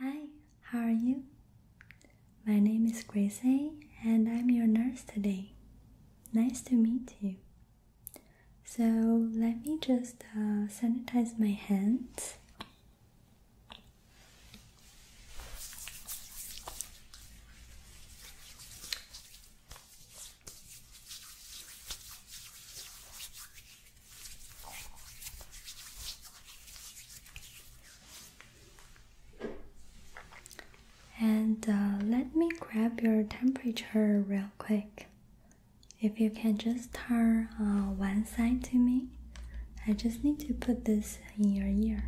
Hi, how are you? My name is Gracie and I'm your nurse today. Nice to meet you. So, let me just uh, sanitize my hands. And uh, let me grab your temperature real quick. If you can just turn uh, one side to me, I just need to put this in your ear.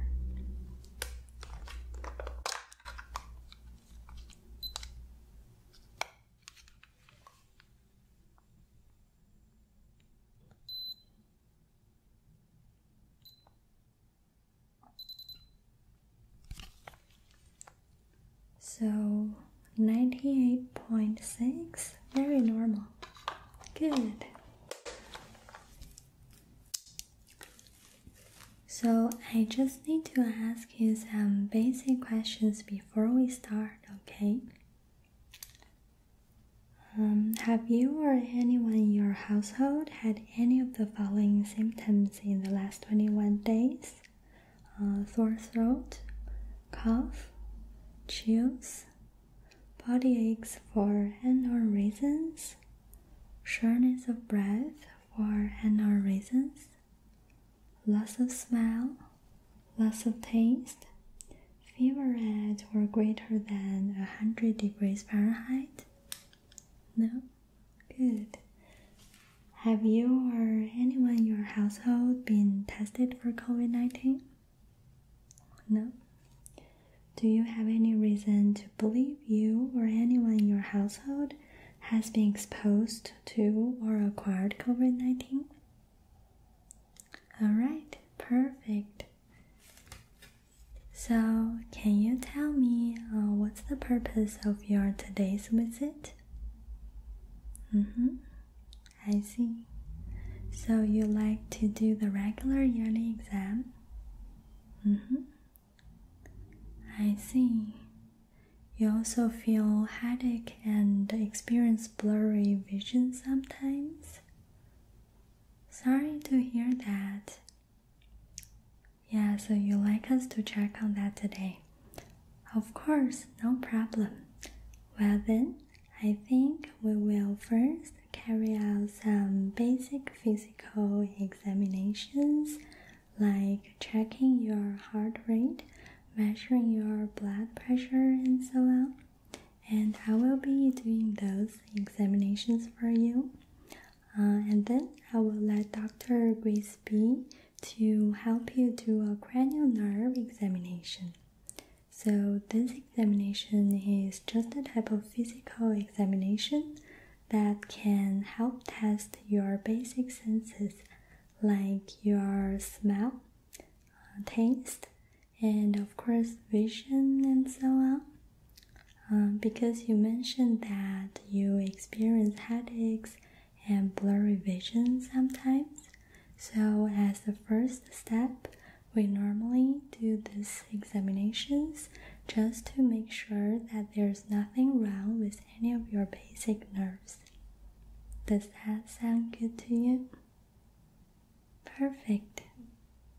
So 98.6, very normal. Good. So I just need to ask you some basic questions before we start, okay? Um, have you or anyone in your household had any of the following symptoms in the last 21 days? Uh, sore throat, cough, chills, body aches for unknown reasons, shortness of breath for unknown reasons, loss of smell, loss of taste, fever or greater than 100 degrees Fahrenheit? No? Good. Have you or anyone in your household been tested for COVID 19? No. Do you have any reason to believe you or anyone in your household has been exposed to or acquired COVID 19? All right, perfect. So, can you tell me uh, what's the purpose of your today's visit? Mm-hmm. I see. So you like to do the regular yearly exam? Mm-hmm. I see. You also feel headache and experience blurry vision sometimes? Sorry to hear that. Yeah, so you like us to check on that today. Of course, no problem. Well, then, I think we will first carry out some basic physical examinations like checking your heart rate, measuring your blood pressure, and so on and I will be doing those examinations for you. Uh, and then I will let Dr. Grisby to help you do a cranial nerve examination. So this examination is just a type of physical examination that can help test your basic senses like your smell, uh, taste, and of course, vision, and so on. Um, because you mentioned that you experience headaches and blurry vision sometimes. So, as the first step, we normally do these examinations just to make sure that there's nothing wrong with any of your basic nerves. Does that sound good to you? Perfect.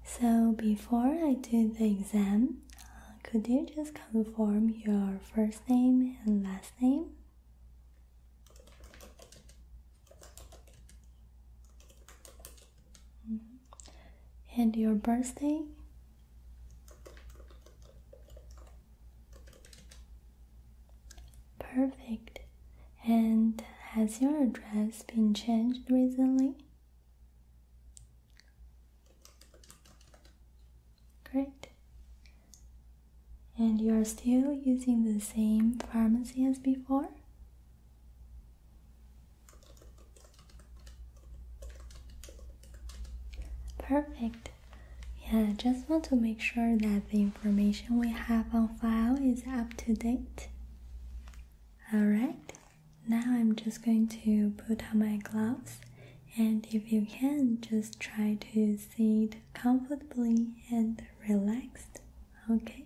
So before I do the exam, uh, could you just confirm your first name and last name? Mm-hmm. And your birthday? Perfect. And has your address been changed recently? Great. And you are still using the same pharmacy as before? Perfect. Yeah, I just want to make sure that the information we have on file is up to date. Alright, now I'm just going to put on my gloves and if you can, just try to sit comfortably and relaxed, okay?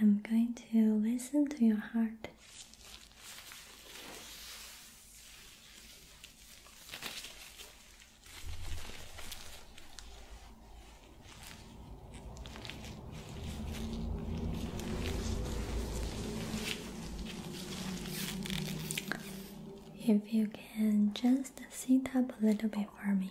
I'm going to listen to your heart. If you can just sit up a little bit for me.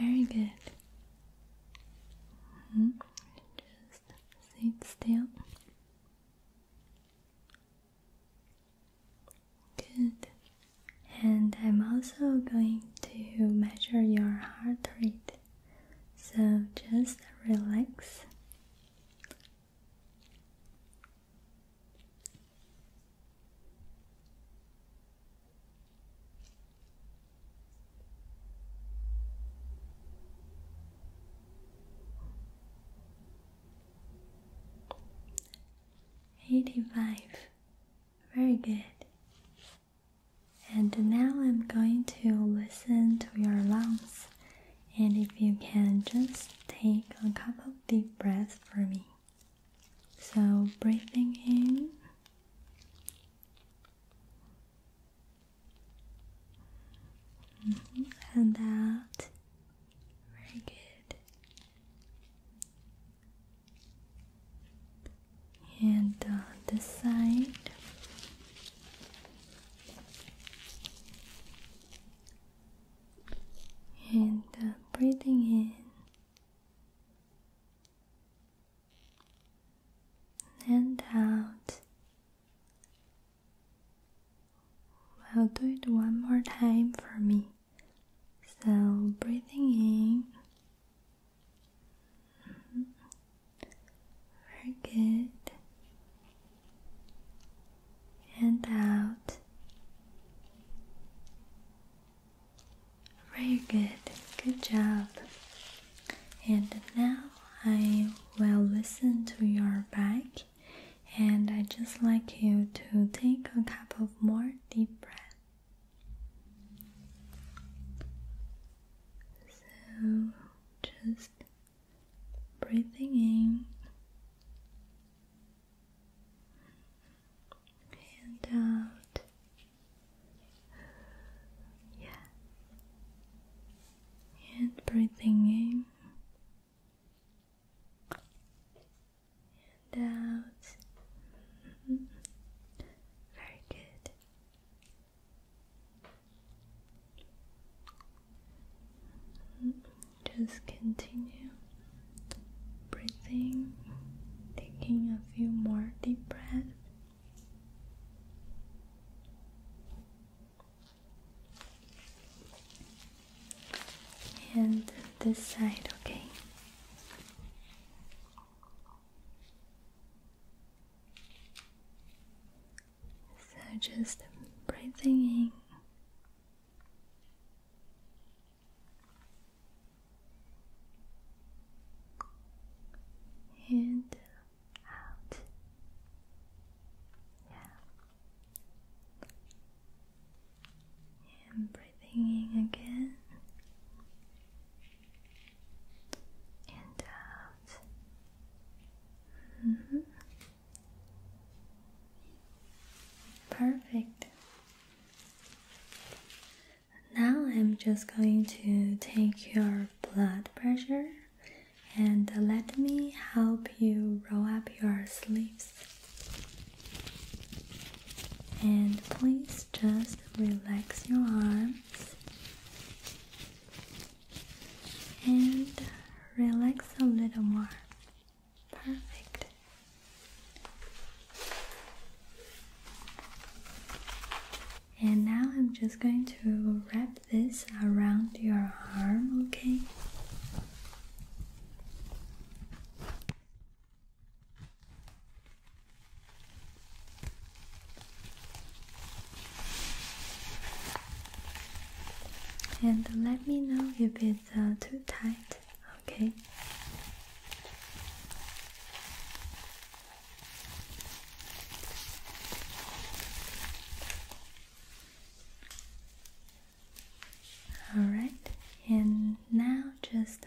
Very good. -hmm. Just sit still. Good and I'm also going to measure your heart rate. So just relax. Eighty five. Very good. And now I'm going to listen to your lungs. And if you can just take a couple deep breaths for me. So, breathing in. Mm-hmm. And out. Very good and on this side and uh, breathing in and out. I'll do it one more time for me. So, breathing in. Very good. And out. Very good. Good job. And now I will listen to your back and I just like you to take a couple of more deep breaths. So just breathing in and out. Yeah. And breathing in and out. Mm-hmm. Very good. Mm-hmm. Just continue breathing, taking a few more deep breaths. And this side, okay. So just breathing in. And out. Yeah breathing again and out. Mm-hmm. Perfect. Now I'm just going to take your blood pressure and let me help you roll up your sleeves and please just relax your arms and relax a little more. Perfect. And now I'm just going to wrap this around your arm, okay? And let me know if it's uh, too tight, okay? All right, and now just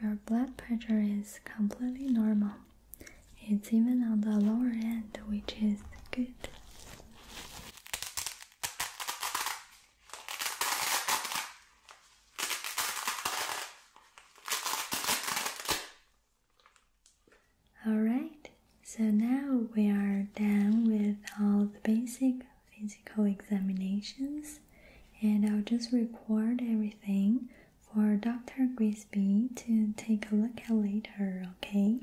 your blood pressure is completely normal. It's even on the lower end, which is good. Alright, so now we are done with all the basic physical examinations, and I'll just record everything for Dr. Grisby to take a look at later, okay?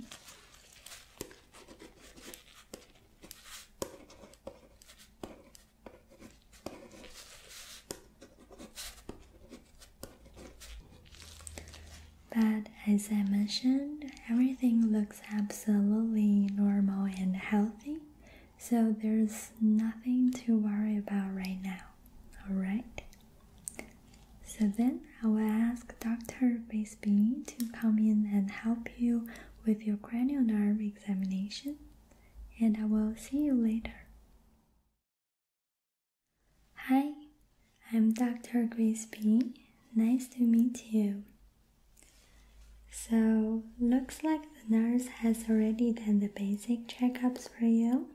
But as I mentioned, everything looks absolutely normal and healthy, so there's nothing to worry about right now, alright? So then I will ask Dr. Basby to come in and help you with your cranial nerve examination, and I will see you later. Hi, I'm Dr. Grisby. Nice to meet you. So, looks like the nurse has already done the basic checkups for you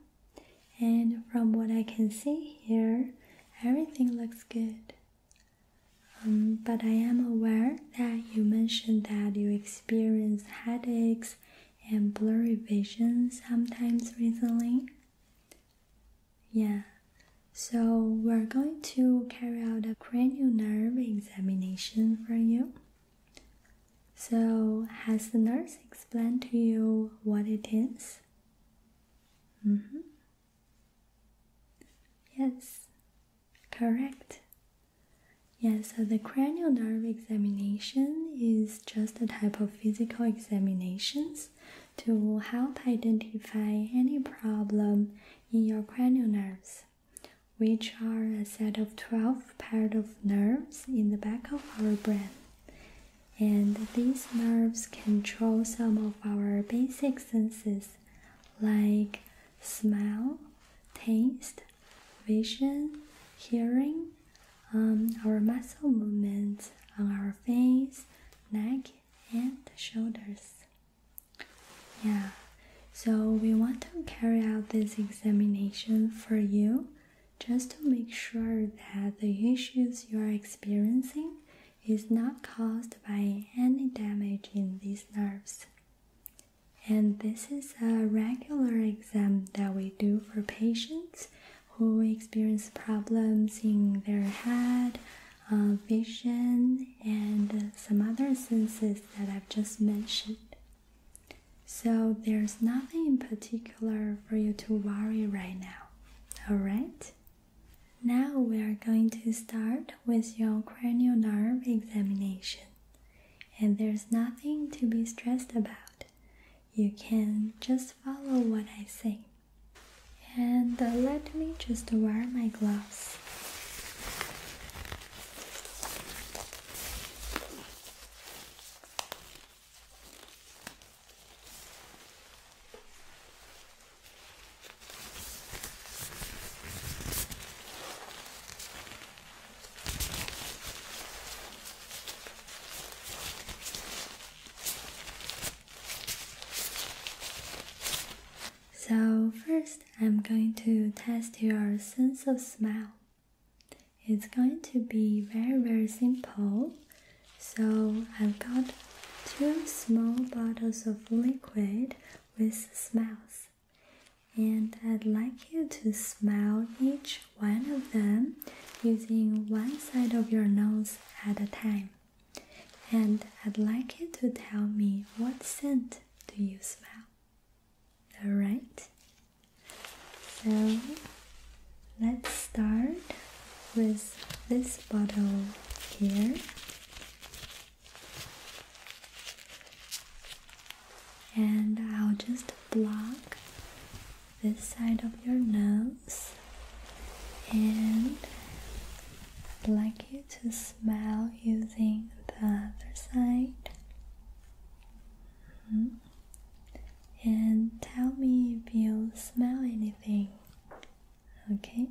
and from what I can see here, everything looks good. Um, but I am aware that you mentioned that you experience headaches and blurry vision sometimes recently. Yeah, so we're going to carry out a cranial nerve examination for you. So, has the nurse explained to you what it is? Mm -hmm. Yes, correct. Yes, so the cranial nerve examination is just a type of physical examinations to help identify any problem in your cranial nerves, which are a set of 12 pairs of nerves in the back of our brain. And these nerves control some of our basic senses like smell, taste, vision, hearing, um, our muscle movements on our face, neck, and shoulders. Yeah, so we want to carry out this examination for you just to make sure that the issues you are experiencing is not caused by any damage in these nerves. And this is a regular exam that we do for patients who experience problems in their head, uh, vision, and some other senses that I've just mentioned. So there's nothing in particular for you to worry right now. Alright? Now we are going to start with your cranial nerve examination. And there's nothing to be stressed about. You can just follow what I say. And uh, let me just wear my gloves. So, first, I'm going to test your sense of smell. It's going to be very very simple. So I've got two small bottles of liquid with smells. And I'd like you to smell each one of them using one side of your nose at a time. And I'd like you to tell me what scent do you smell. Alright, so let's start with this bottle here. And I'll just block this side of your nose and I'd like you to smell using the other side. Mm-hmm and tell me if you smell anything. Okay?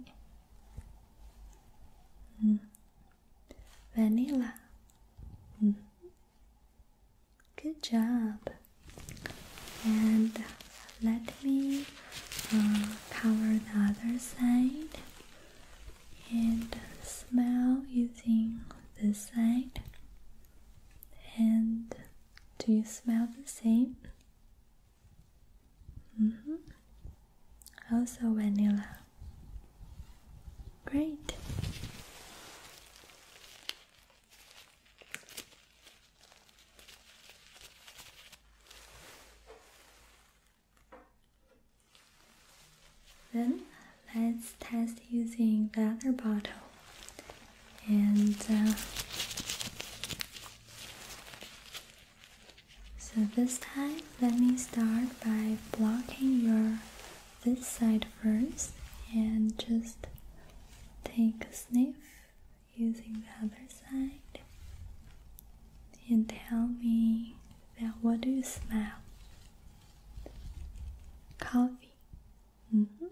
Mm. Vanilla. Mm. Good job. And let me um, cover the other side and smell using this side and do you smell the same? -hmm. Also vanilla. Great. Then let's test using the other bottle and uh, so this time let me start by blocking your this side first and just take a sniff using the other side and tell me that what do you smell coffee mm-hmm.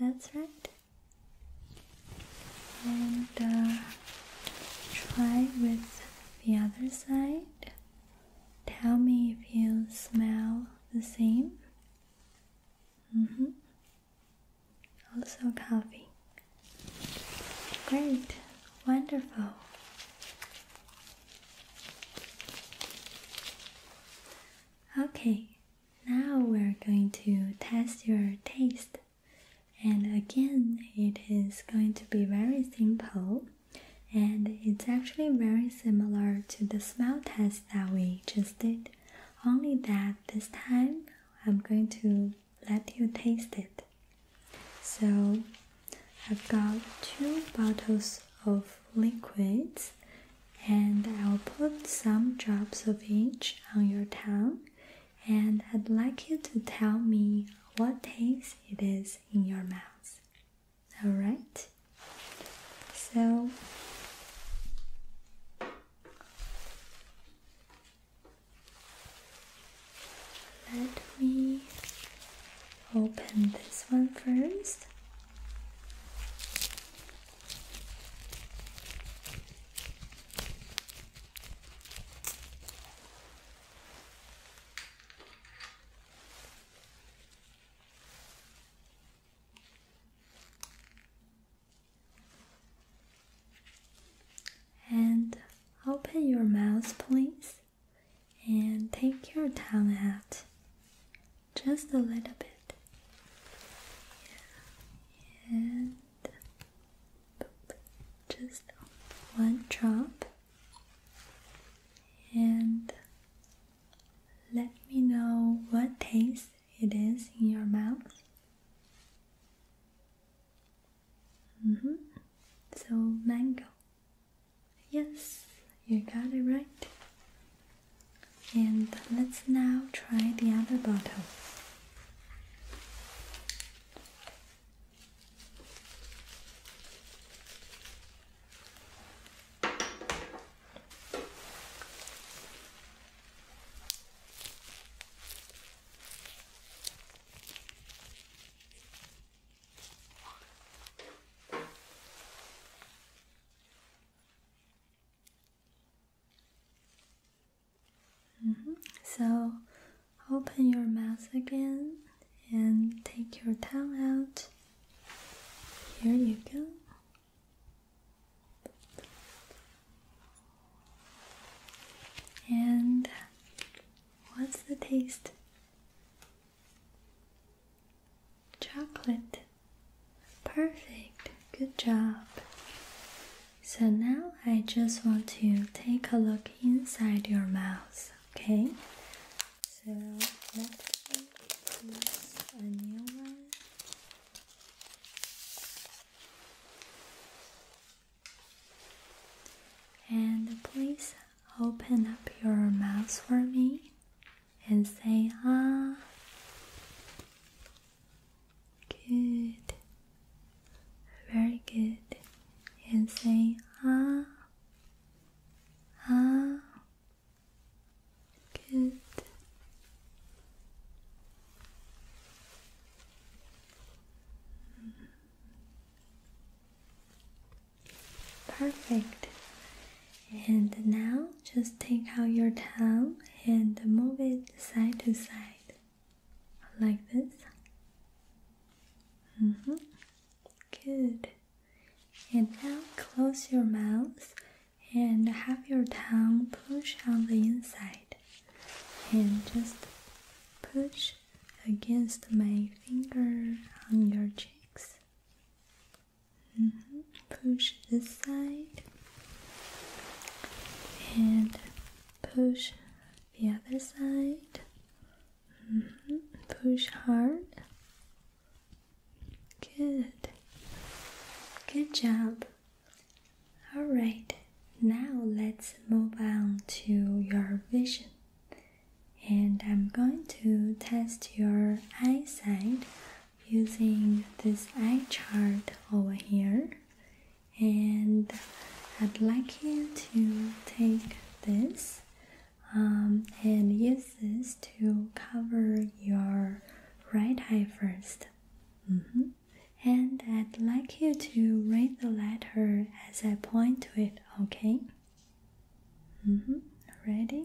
That's right. And uh, try with the other side. Tell me if you smell the same. Mm -hmm. Also, coffee. Great, wonderful. Okay, now we're going to test your taste. And again, it is going to be very simple. And it's actually very similar to the smell test that we just did. Only that this time, I'm going to let you taste it. So, I've got two bottles of liquids and I'll put some drops of each on your tongue and I'd like you to tell me what taste it is in your mouth. Alright? So let me open this one first. And open your mouth, please, and take your tongue out just a little bit. Yeah. And just one drop. And let me know what taste it is in your mouth. Mm -hmm. So, mango. Yes, you got it right. And let's now try the other bottle. Mm-hmm. So open your mouth again and take your tongue out. Here you go. And what's the taste? Chocolate. Perfect. Good job. So now I just want to take a look inside your mouth, okay? So let me use a new one. And please open up your mouth for me and say ah. Good. Very good. And say ah. Ah. Good. Perfect. And now just take out your tongue and move it side to side like this. Mm -hmm. Good. And now close your mouth and have your tongue push on the inside and just push against my finger on your cheeks. Mm-hmm. Push this side and push the other side. Mm-hmm. Push hard. Good. Good job. All right. Now let's move on to your vision. And I'm going to test your eyesight using this eye chart over here and I'd like you to take this um, and use this to cover your right eye first mm-hmm. and I'd like you to read the letter as I point to it okay mm -hmm. ready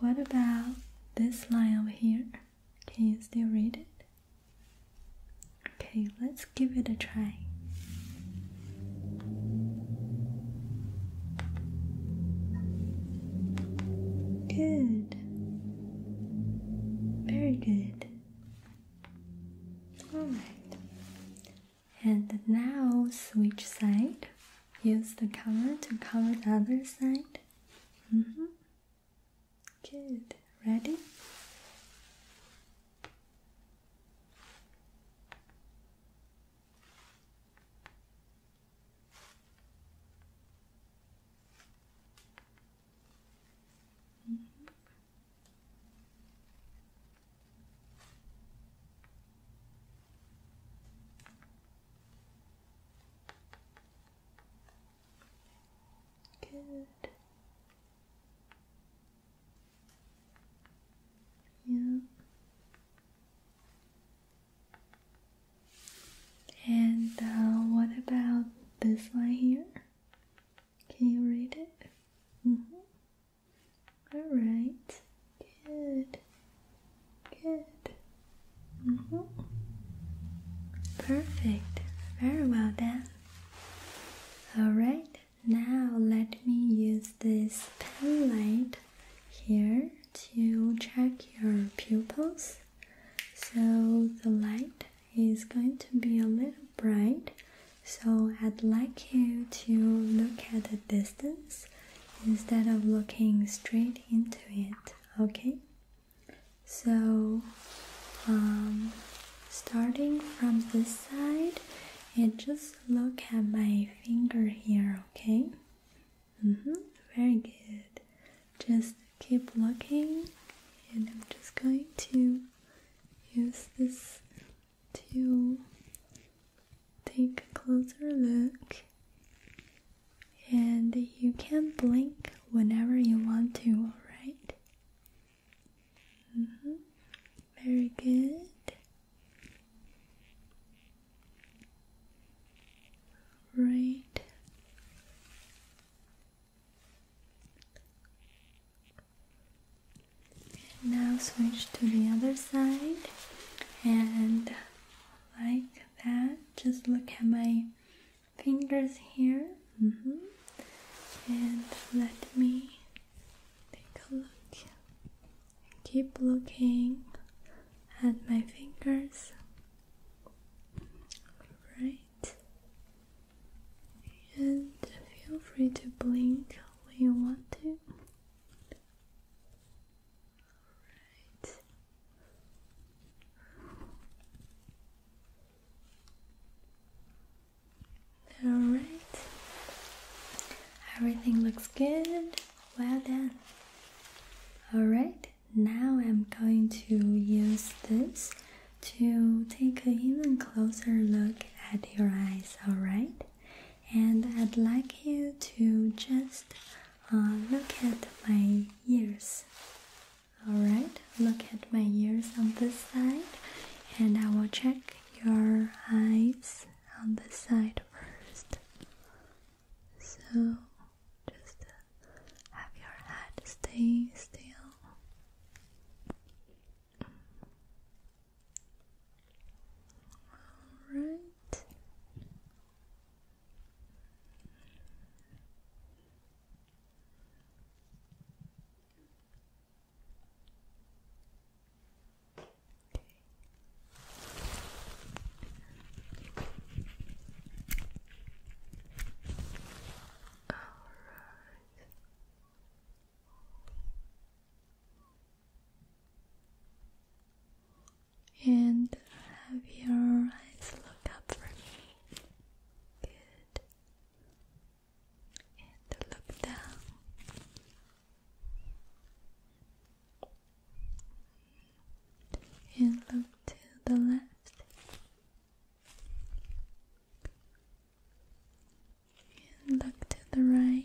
What about this line over here? Can you still read it? Okay, let's give it a try. Good. Very good. Alright. And now switch side. Use the cover to cover the other side. Mm -hmm. Good. Ready? Mm -hmm. Good. Yeah. And uh, what about this line here? Can you read it? Mm-hmm. All right. Good. Good. Mm-hmm. Perfect. Very well done. All right. Now let me use this pen light here to check your pupils. So the light is going to be a little bright. So I'd like you to look at the distance instead of looking straight into it, okay? So, um, starting from this side, and just look at my finger here, okay? Mm -hmm. Very good. Just keep looking, and I'm just going to use this to take a closer look. And you can blink whenever you want to, alright? Mm -hmm. Very good right now switch to the other side and like that just look at my fingers here mm-hmm. and let me take a look keep looking at my fingers Alright. And feel free to blink when you want to. Alright. Alright. Everything looks good. Well done. Alright now I'm going to use this to take an even closer look at your eyes, alright? And I'd like you to just uh, look at my ears. Alright, look at my ears on this side, and I will check your eyes on the side first. So just have your head stay still. All right. And have your eyes look up for me. Good. And look down and look to the left and look to the right.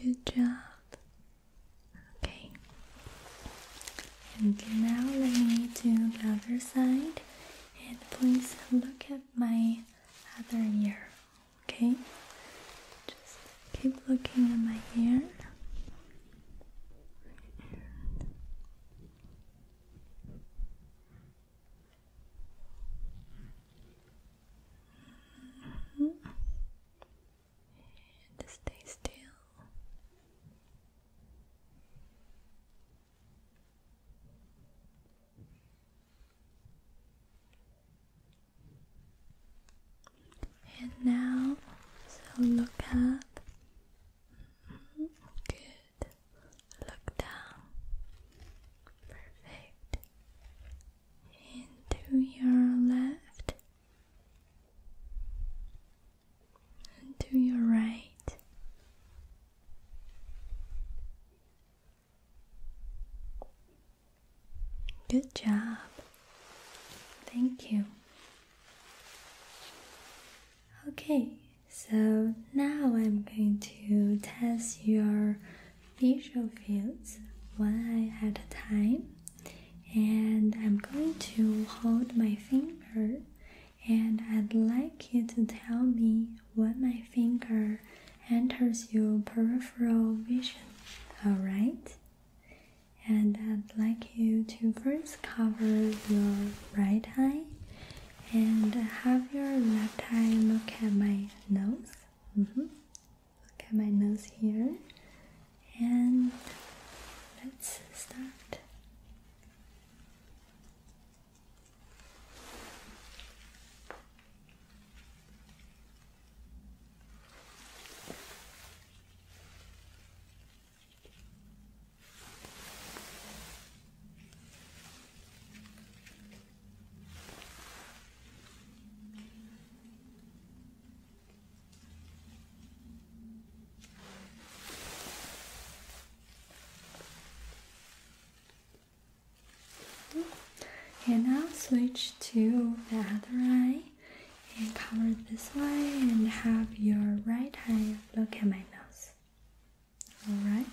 Good job. Okay. And now let me do the other side and please look at my other ear. Okay? Just Keep looking at my hair. And stay still. And now, so look up. Mm-hmm. Good. Look down. Perfect. And to your left. And to your right. Good job. Thank you. Okay, so now I'm going to test your visual fields one eye at a time. And I'm going to hold my finger and I'd like you to tell me when my finger enters your peripheral vision. Alright? and I'd like you to first cover your right eye and have your left eye look at my nose. Mm-hmm. Look at my nose here. And let's start. And now switch to the other eye and cover this way and have your right eye look at my nose. Alright?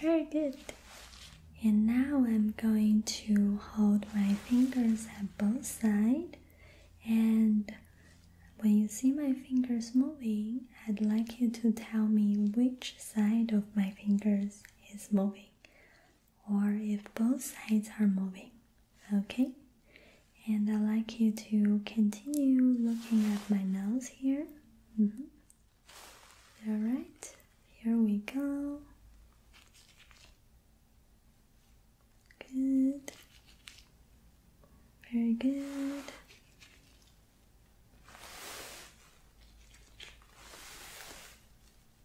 Very good. And now I'm going to hold my fingers at both sides and when you see my fingers moving, I'd like you to tell me which side of my fingers is moving or if both sides are moving. Okay? And I'd like you to continue looking at my nose here. Mm-hmm. Alright, here we go. Good. Very good.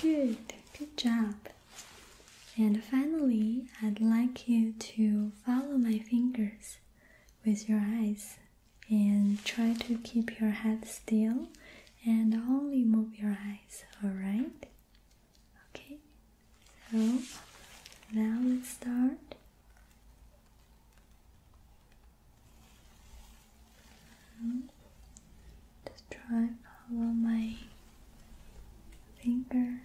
Good, good job. And finally, I'd like you to follow my fingers with your eyes and try to keep your head still and only move your eyes, alright? Okay, so now let's start. Hmm. Just try follow my finger.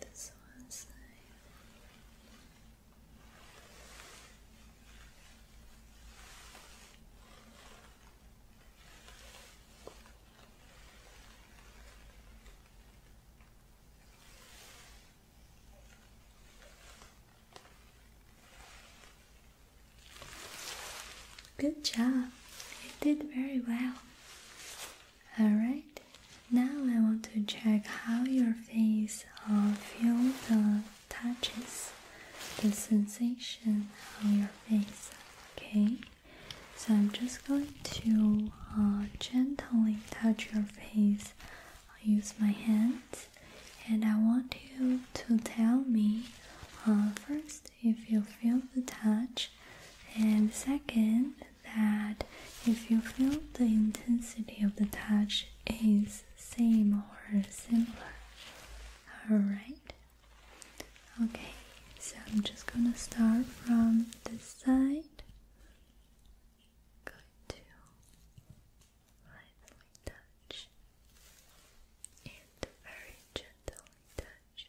This one side. Good job, you did very well. Alright, now I want to check how your face uh, feel uh, touches the sensation on your face. Okay, so I'm just going to uh, gently touch your face. I'll use my hands, and I want you to tell me uh, first if you feel the touch, and second, that if you feel the intensity of the touch is same or similar. Alright. Okay, so I'm just gonna start from this side. Going to lightly touch and very gently touch.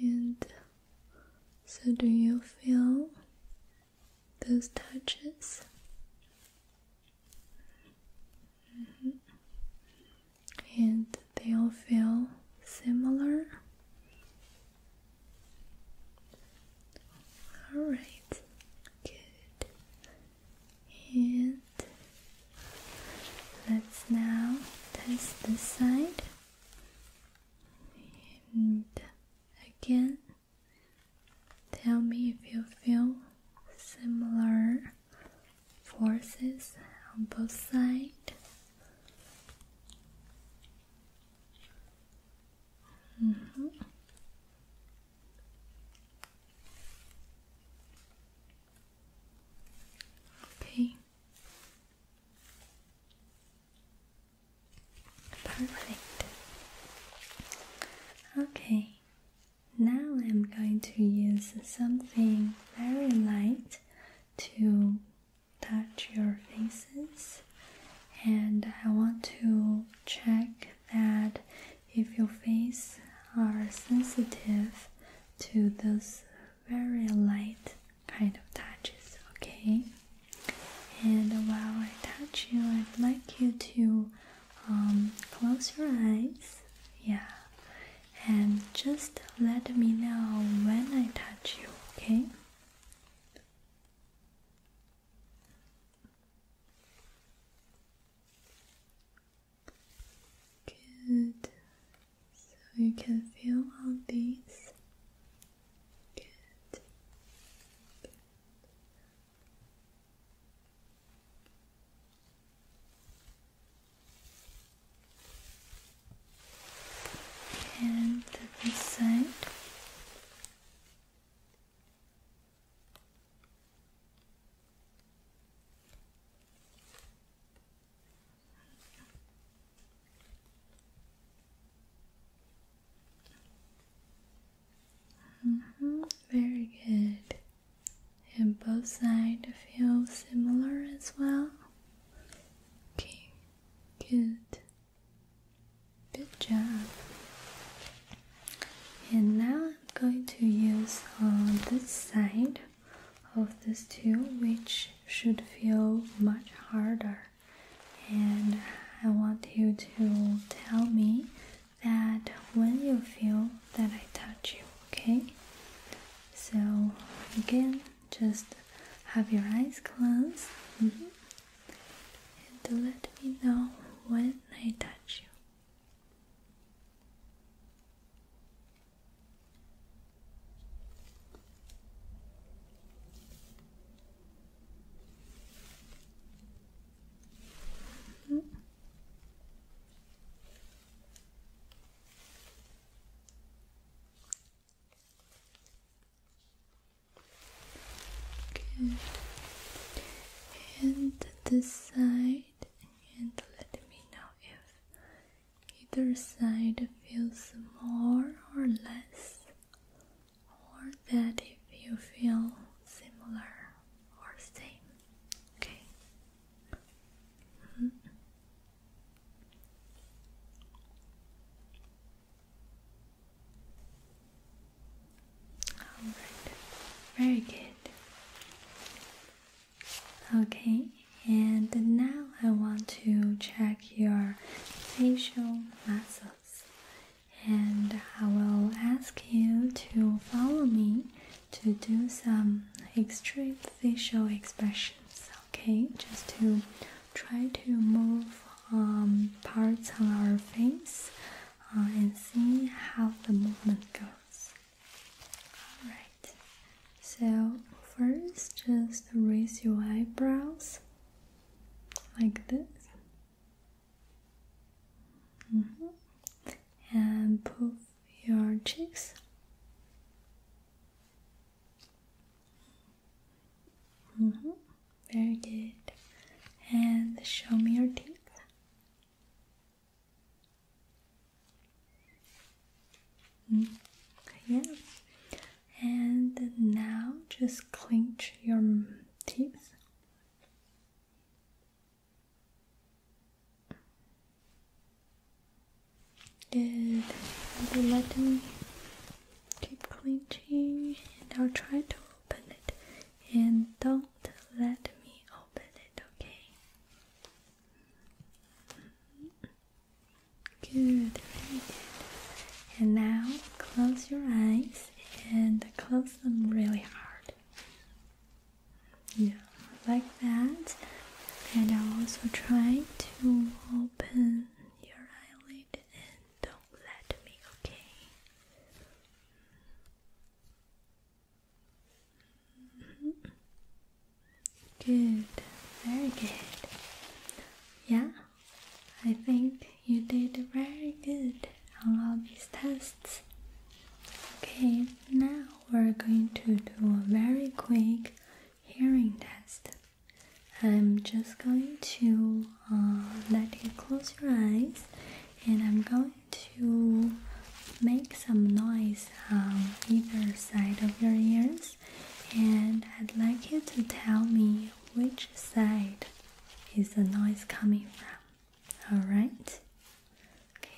And so, do you feel those touches. Mm-hmm. And they all feel similar. All right, good. And let's now test this side. And again. Tell me if you feel similar forces on both sides. Mm-hmm. Okay. Perfect. Okay, now I'm going to use something very light to touch your faces, and I want to check that if your faces are sensitive to those very light kind of touches, okay? And while I touch you, I'd like you to um, close your eyes. Yeah. And just let me know when I touch you, okay? Good. So you can feel all these Good. Good. And this side. Mm-hmm. Very good. And both sides feel similar as well. Okay, good. Good job. And now I'm going to use on uh, this side of this tool, which should feel much harder and I want you to tell me that when you feel that I touch you, okay? So, again, just have your eyes closed mm-hmm. and let me know when I touch you. Mm -hmm. Good. And this side, and let me know if either side feels more or less or that if you feel similar or same. Okay. Mm-hmm. Very good. Okay, and now I want to check your facial muscles and I will ask you to follow me to do some extreme facial expressions, okay? Just to try to move um, parts on our face uh, and see how the movement goes. Alright, so first just raise your eyebrows like this Mm -hmm. And puff your cheeks. Mm -hmm. Very good. And show me your teeth. Mm. Yeah. And now just clench your teeth Good. Will you let me keep clenching? And I'll try to open it. And don't let me open it, okay? Good, very good. And now close your eyes and close them really hard. Yeah, like that. And i am also trying to open your eyelid and don't let me, okay? Mm-hmm. Good, very good. Yeah, I think you did very good on all these tests. Okay, now we're going to do a very quick hearing test. I'm just going to uh, let you close your eyes and I'm going to make some noise on either side of your ears and I'd like you to tell me which side is the noise coming from. All right. Okay.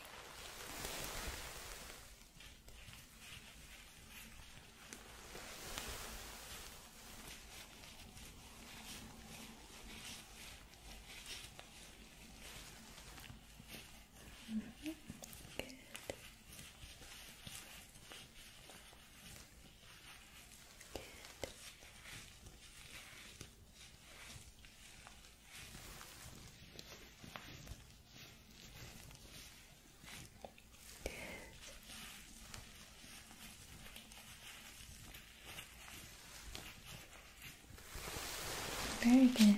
Mm-hmm. Good. Very good.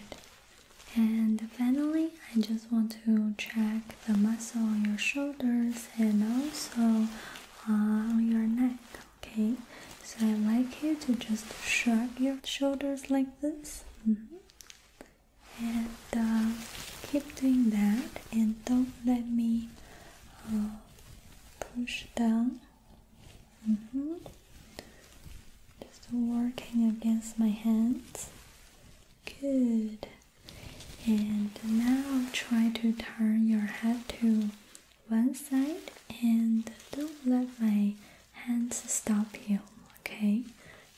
And finally, I just want to check the muscle on your shoulders and also on your neck. Okay, so I like you to just shrug your shoulders like this. Mm-hmm. And uh, keep doing that, and don't let me uh, push down. Mm-hmm. Just working against my hands. Good. And now try to turn your head to one side and don't let my hands stop you, okay?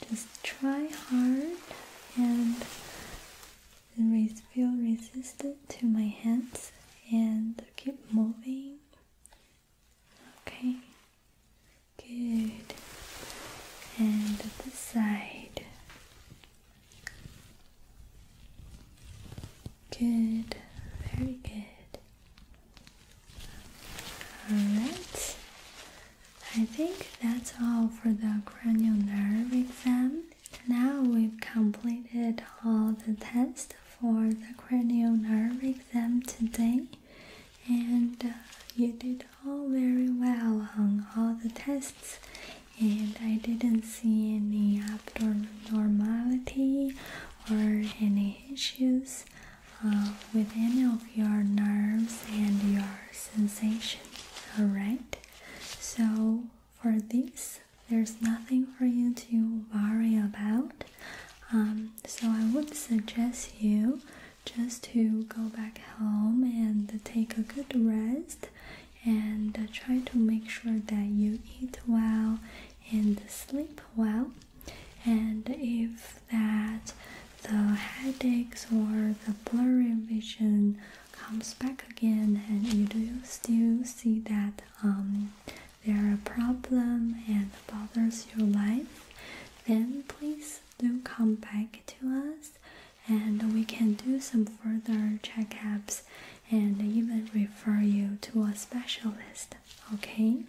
Just try hard and feel resistant to my hands and keep moving. Okay, good. And the side. Good, very good. Alright, I think that's all for the cranial nerve exam. Now we've completed all the tests for the cranial nerve exam today, and uh, you did all very well on all the tests and I didn't see any abnormality or any issues uh, with any of your nerves and your sensation. Alright, so for this, there's nothing for you to worry about. Um, so I would suggest you just to go back home and take a good rest and try to make sure that you eat well and sleep well. And if that the headaches or the blurry vision comes back again, and you do still see that um, they're a problem and bothers your life, then please do come back to us and we can do some further checkups and even refer you to a specialist, okay?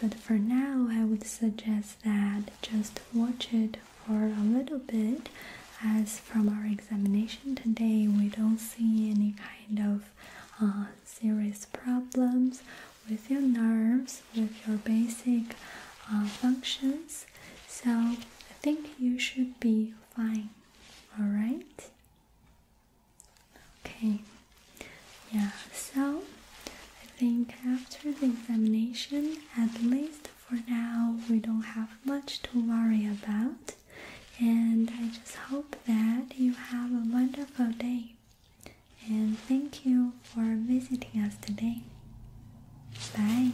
But for now, I would suggest that just watch it for a little bit, as from our examination today, we don't see any kind of uh, serious problems with your nerves, with your basic uh, functions. So I think you should be fine. All right. Okay, yeah, so I think after the examination, at least for now, we don't have much to worry about, and I just hope that you have a wonderful day. And thank you for visiting us today. Bye.